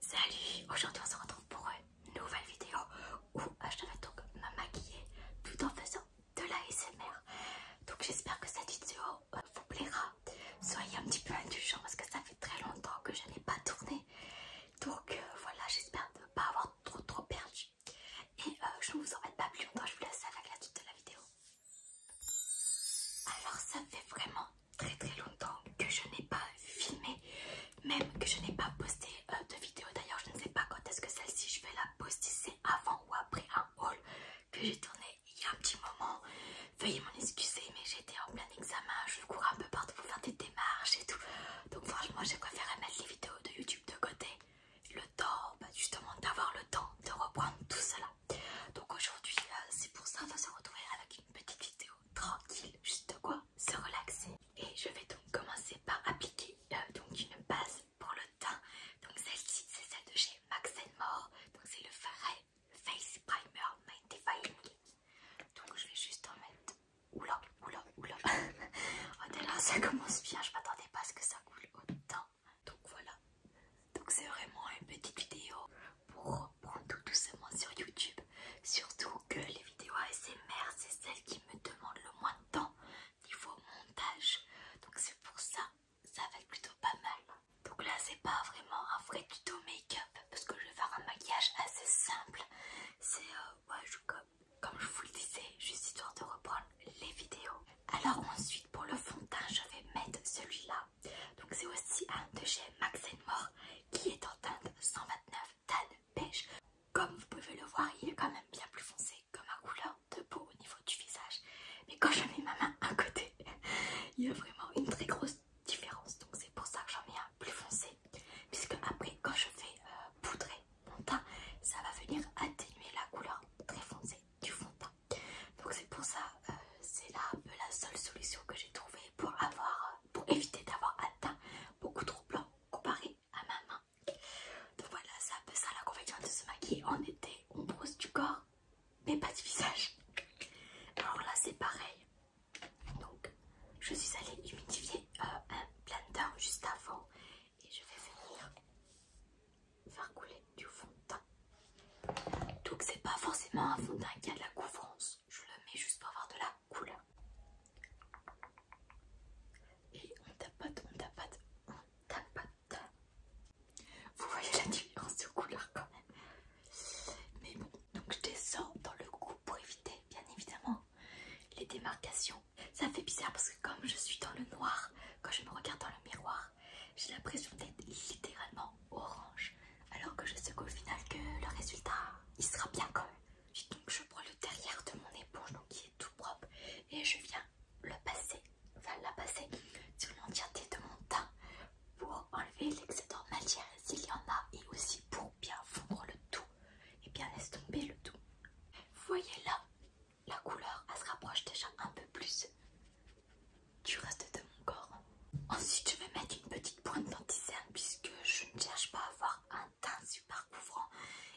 Salut, aujourd'hui on se retrouve pour une nouvelle vidéo où euh, je vais donc me maquiller tout en faisant de l'ASMR. Donc j'espère que cette vidéo euh, vous plaira. Soyez un petit peu indulgents parce que ça fait très longtemps que je n'ai pas tourné. Donc euh, voilà, j'espère ne pas avoir trop trop perdu. Et je ne vous emmène pas plus longtemps, je vous laisse avec la suite de la vidéo. Alors ça fait vraiment très très longtemps que je n'ai pas filmé, même que je n'ai pas posté euh, de vidéo. D'ailleurs, je ne sais pas quand est-ce que celle-ci je vais la poster, c'est avant ou après un haul que j'ai tourné il y a un petit moment. Veuillez m'en excuser, mais j'étais en plein examen, je cours un peu partout pour faire des démarches et tout. Donc franchement, j'ai préféré mettre les vidéos de YouTube de côté, le temps, bah, justement d'avoir le temps de reprendre tout cela. Donc aujourd'hui, euh, c'est pour ça qu'on se retrouver avec une petite vidéo tranquille, juste quoi se relaxer. Et je vais donc commencer par appliquer euh, donc une base pour le teint. Donc celle-ci, c'est celle de chez Max More. Donc c'est le Farai Face Primer Night Defining. Donc je vais juste en mettre. Oula, oula, oula. oh là, ça commence bien. Je m'attendais pas à ce que ça coule autant. Donc voilà. Donc c'est vraiment une petite vidéo pour reprendre tout doucement sur YouTube. Surtout que les vidéos ASMR, c'est celles qui me demandent le moins de temps niveau montage. Donc c'est pour ça, ça va être plutôt pas mal. Donc là, c'est pas vraiment un vrai tuto make-up parce que je vais faire un maquillage assez simple. C'est euh, comme, comme je vous le disais, juste histoire de reprendre les vidéos. Alors ensuite, pour le fond de teint, je vais mettre celui-là donc c'est aussi un de chez Max More qui est en teinte 129 tan beige. Comme vous pouvez le voir, il est quand même bien plus foncé que ma couleur de peau au niveau du visage. Mais quand je mets ma main à côté, il y a vraiment une très grosse différence. Donc c'est pour ça que j'en mets un plus foncé. Puisque après, quand je fais euh, poudrer mon teint, ça va venir atténuer la couleur très foncée du fond de teint. Donc c'est pour ça, euh, c'est là la seule solution que j'ai trouvée pour avoir euh, pour éviter d'avoir un teint beaucoup trop blanc comparé à ma main. Donc voilà, c'est un peu ça la convention de se maquiller en été. On brosse du corps, mais pas du visage. Alors là, c'est pareil. Donc, je suis allée humidifier euh, un blender juste avant et je vais venir faire couler du fond de teint. Donc, c'est pas forcément un fond de teint qui a de la couvrance je le mets juste pour avoir de la couleur. Et on tapote, on tapote, on tapote. Vous voyez la différence de couleur quand même. Mais bon, donc je descends dans le cou pour éviter bien évidemment les démarcations. Ça fait bizarre parce que comme je suis dans le noir, quand je me regarde dans le miroir, j'ai l'impression d'être littéralement orange, alors que je sais qu'au final que le résultat il sera bien quand même. donc je prends le derrière de mon éponge donc qui est tout propre et je viens le passer, enfin la passer sur l'entièreté de mon teint pour enlever l'excédent de matière s'il y en a et aussi pour bien fondre le tout et bien laisse tomber le tout. voyez là, la couleur elle se rapproche déjà un peu plus du reste de mon corps Ensuite, je vais mettre une petite pointe dentifrice puisque je ne cherche pas à avoir un teint super couvrant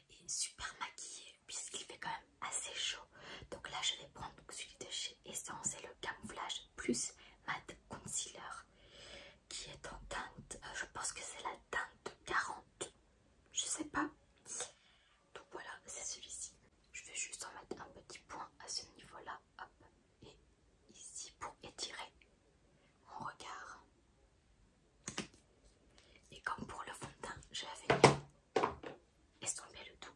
et super maquillé puisqu'il fait quand même assez chaud. Donc là, je vais prendre celui de chez Essence et le camouflage plus matte concealer qui est en teinte, euh, je pense que c'est la teinte 40, je sais pas. Donc voilà, c'est celui-ci. Je vais juste en mettre un petit point à ce niveau-là, hop et ici pour étirer mon regard. Et comme pour le fond de teint, j'avais estomper le tout.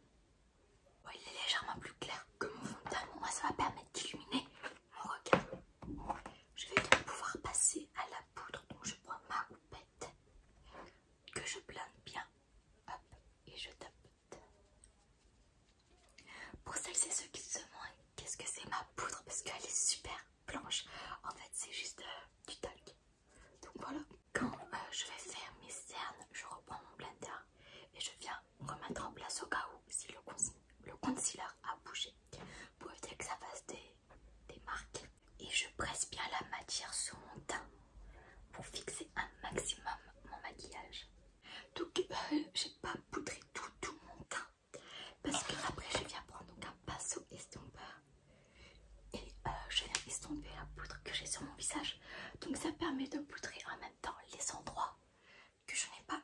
il est légèrement plus clair que mon fond de teint, moi ça va permettre d'illuminer mon regard. Je vais donc pouvoir passer à la poudre, donc je prends ma roupette que je blinde bien, et je tapote. Pour celles et ceux qui se demandent qu'est-ce que c'est ma poudre parce qu'elle est super blanche, en fait c'est juste euh, du talc. Donc voilà, quand euh, je vais faire mes cernes, je reprends mon blender et je viens remettre en place au cas où si le, concealer a bougé pour éviter que ça fasse des marques. Et je presse bien la matière sur mon teint pour fixer un maximum mon maquillage. Donc je euh, j'ai pas poudré tout, mon teint parce que après je viens prendre un pinceau estompeur et euh, je viens estomper la poudre que j'ai sur mon visage. Donc ça permet de poudrer en même temps les endroits que je n'ai pas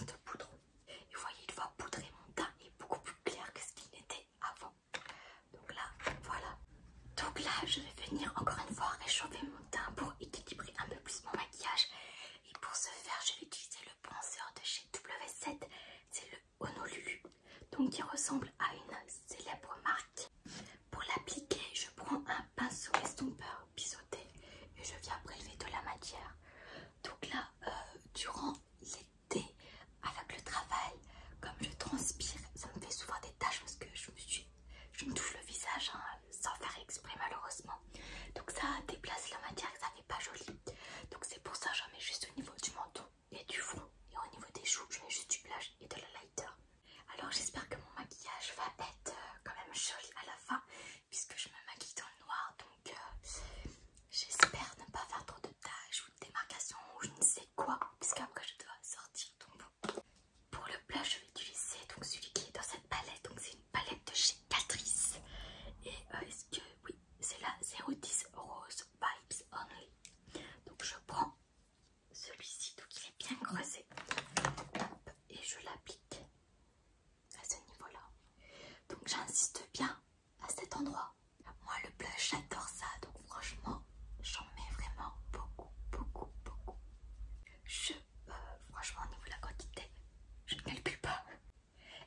euh, de poudre. Et vous voyez, une fois poudré, mon teint est beaucoup plus clair que ce qu'il était avant. Donc là, voilà. Donc là, je vais venir encore une fois réchauffer mon teint pour équilibrer un peu plus mon maquillage et pour ce faire, je vais utiliser le bronzer de chez W7. C'est le Honolulu. Donc il ressemble à une célèbre marque. Pour l'appliquer, je prends un pinceau estompeur biseauté et je viens prélever de la matière. Donc là, euh, durant l'été, avec le travail, comme je transpire, ça me fait souvent des taches parce que je me, touche le visage. Hein, sans faire exprès malheureusement. Donc ça déplace la matière ça n'est pas joli. Donc c'est pour ça que j'en mets juste au niveau du menton et du front. Et au niveau des joues, je mets juste du blush et de la lighter. Alors j'espère que mon maquillage va être euh, quand même joli à la fin puisque je me maquille dans le noir. Donc euh, j'espère ne pas faire trop de taches ou de démarcations ou je ne sais quoi puisqu'après je dois sortir. Donc, pour le blush je vais utiliser donc celui qui est dans cette palette. Donc c'est une palette de chez et euh, est-ce que oui, c'est la 010 Rose Vibes Only. Donc je prends celui-ci, donc il est bien creusé. et je l'applique à ce niveau-là. Donc j'insiste bien à cet endroit. Moi le blush, j'adore ça, donc franchement, j'en mets vraiment beaucoup, beaucoup, beaucoup. Je euh, franchement, au niveau de la quantité, je ne calcule pas.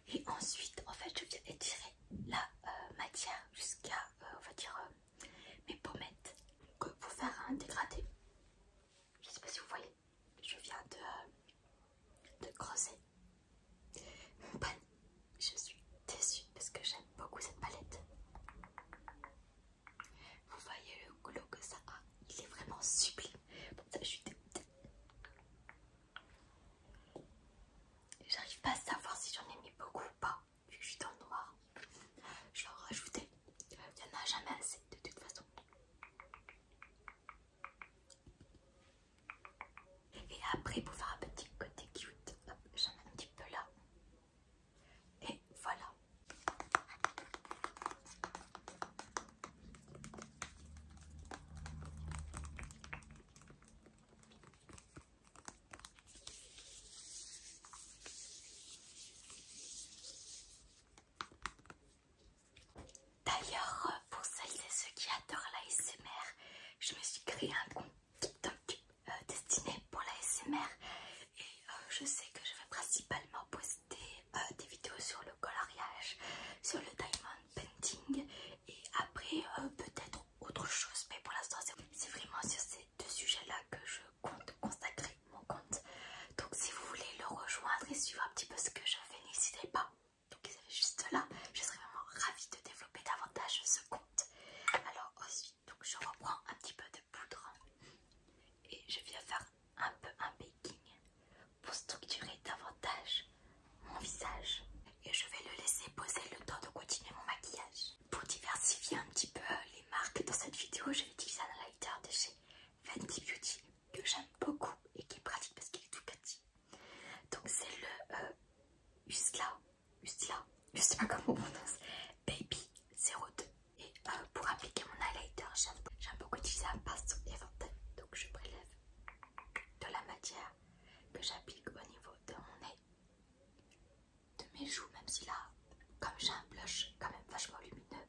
Et ensuite, en fait, je viens étirer la euh, matière jusqu'à, euh, on va dire, mes pommettes. pour faire un dégradé, je ne sais pas si vous voyez, je viens de, de creuser mon Je suis déçue parce que j'aime beaucoup cette palette. Vous voyez le glow que ça a, il est vraiment sublime. J'arrive pas à savoir si j'en ai mis beaucoup ou pas, vu que je suis dans le noir. Je vais en rajouter. Il n'y en a jamais assez de toute façon. Et après, pour faire un petit côté cute, j'en mets un petit peu là. Et voilà. D'ailleurs, pour celles et ceux qui adorent la SMR, je me suis créé un compte TikTok euh, destiné pour la SMR et euh, je sais que je vais principalement poster euh, des vidéos sur le coloriage, sur le diamond painting et après euh, peut-être autre chose. Mais pour l'instant, c'est vraiment sur ces deux sujets-là que je compte consacrer mon compte. Donc si vous voulez le rejoindre et suivre un petit peu ce que je fais, n'hésitez pas. Donc il s'agit juste là, je serais vraiment ravie de développer davantage ce compte. Alors ensuite, donc je reprends un petit peu de poudre et je viens faire un peu un baking pour structurer davantage mon visage. Et je vais le laisser poser le temps de continuer mon maquillage. Pour diversifier un petit peu les marques dans cette vidéo, vais utilisé un highlighter de chez Fenty Beauty que j'aime beaucoup et qui est pratique parce qu'il est tout petit. Donc c'est le euh, Usla, je on prononce, Baby 02. Et euh, pour appliquer mon highlighter, j'aime beaucoup utiliser un pinceau éventail. Donc je prélève de la matière que j'applique au niveau de mon nez, de mes joues, même si là, comme j'ai un blush quand même vachement lumineux,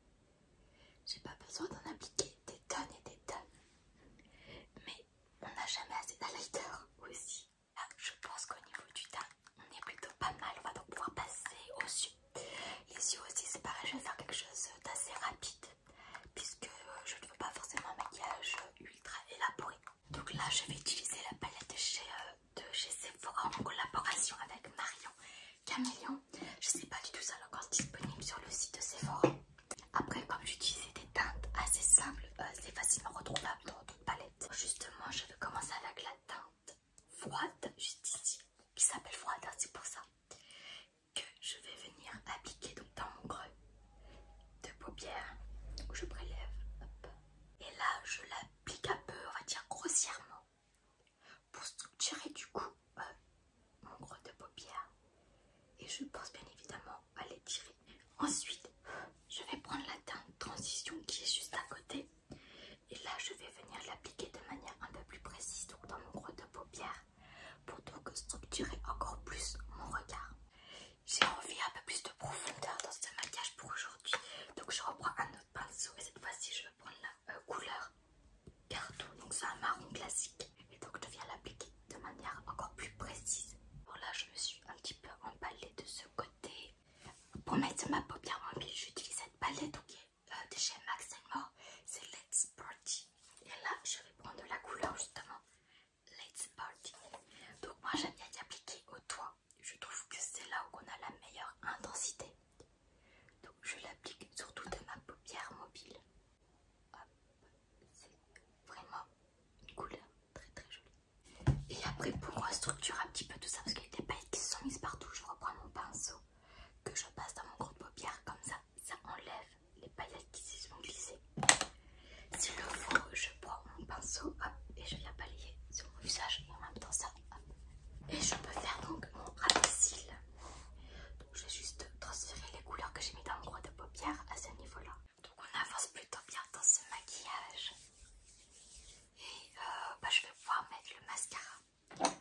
j'ai pas besoin d'en appliquer des tonnes et des tonnes. Mais on n'a jamais assez d'highlighter aussi. je pense qu'au niveau du teint, on est plutôt pas mal. On va donc pouvoir passer au dessus. Ici aussi c'est pareil, je vais faire quelque chose d'assez rapide puisque euh, je ne veux pas forcément un maquillage ultra élaboré. Donc là je vais utiliser la palette de chez, euh, Sephora en collaboration avec Marion Camélion. Je ne sais pas du tout est encore disponible sur le site de Sephora. Après comme j'utilisais des teintes assez simples, euh, c'est facilement retrouvable dans toute palettes. Justement je vais commencer avec la teinte froide, juste ici, qui s'appelle froide, hein, c'est pour ça, que je vais venir appliquer donc dans mon creux de paupière où je prélève. Et là, je l'applique un peu, on va dire grossièrement, pour structurer du coup mon creux de paupière. Et je pense bien évidemment à l'étirer. Ensuite, je vais prendre la teinte transition qui est juste à côté et là, je vais venir l'appliquer de manière un peu plus précise, donc dans mon creux de paupière, pour donc structurer encore plus mon regard. J'ai envie un peu plus de profondeur dans ce maquillage pour aujourd'hui, donc je reprends un autre pinceau et cette fois-ci, je vais prendre la euh, couleur carton, donc c'est un marron classique. Et donc, je viens l'appliquer de manière encore plus précise. Bon, là, je me suis un petit peu emballée de ce côté. Pour mettre ma paupière en mobile, j'utilise cette palette, ok euh, déjà, de chez Max c'est Let's Party. Et là, je vais prendre de la couleur justement. Let's Party. Donc, moi j'aime bien y appliquer au toit. Je trouve que c'est là où on a la meilleure intensité. Donc, je l'applique surtout de ma paupière mobile. C'est vraiment une couleur très très jolie. Et après, pour structurer un petit peu tout ça, parce qu'il y a des paillettes qui sont mises partout, je reprends mon pinceau que je passe dans mon gros de paupière comme ça, ça enlève les paillettes qui se sont glissées. S'il le faut, je prends mon pinceau et je viens balayer sur mon visage en même temps ça. Et je peux faire donc mon cils Donc vais juste transférer les couleurs que j'ai mis dans mon gros de paupière à ce niveau-là. Donc on avance plutôt bien dans ce maquillage. Et euh, bah, je vais pouvoir mettre le mascara.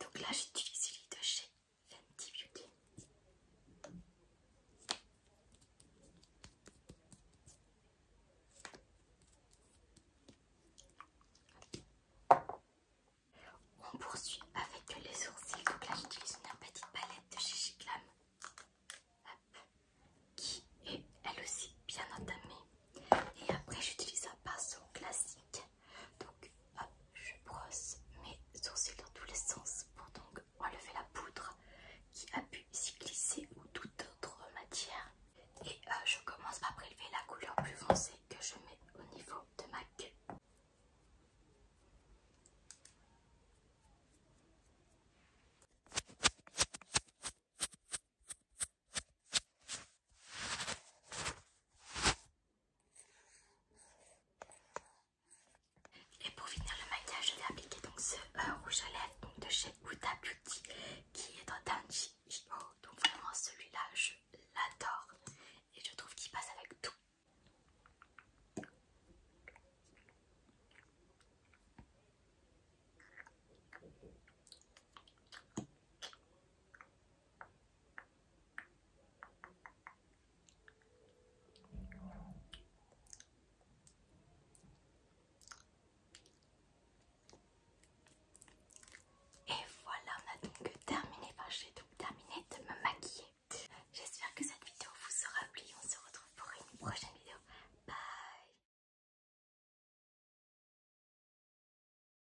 Donc là, j'utilise celui de chez Fenty Beauty. On poursuit avec les sourcils. Donc là, j'utilise une petite palette de chez Glam qui est elle aussi bien entamée. Et après, j'utilise un pinceau classique donc hop, je brosse mes sourcils dans tous les sens pour donc enlever la poudre qui a pu s'y glisser ou toute autre matière. Et euh, je commence par prélever la couleur plus foncée que je mets au niveau de ma queue. Et pour finir le maquillage, je vais appliquer donc ce euh, rouge à lèvres donc de chez Huda Beauty qui est dans Danji Donc vraiment celui-là, je l'adore et je trouve qu'il passe avec tout. Et voilà, on a donc terminé, enfin j'ai donc terminé de me maquiller. J'espère que cette vidéo vous aura plu. On se retrouve pour une prochaine vidéo. Bye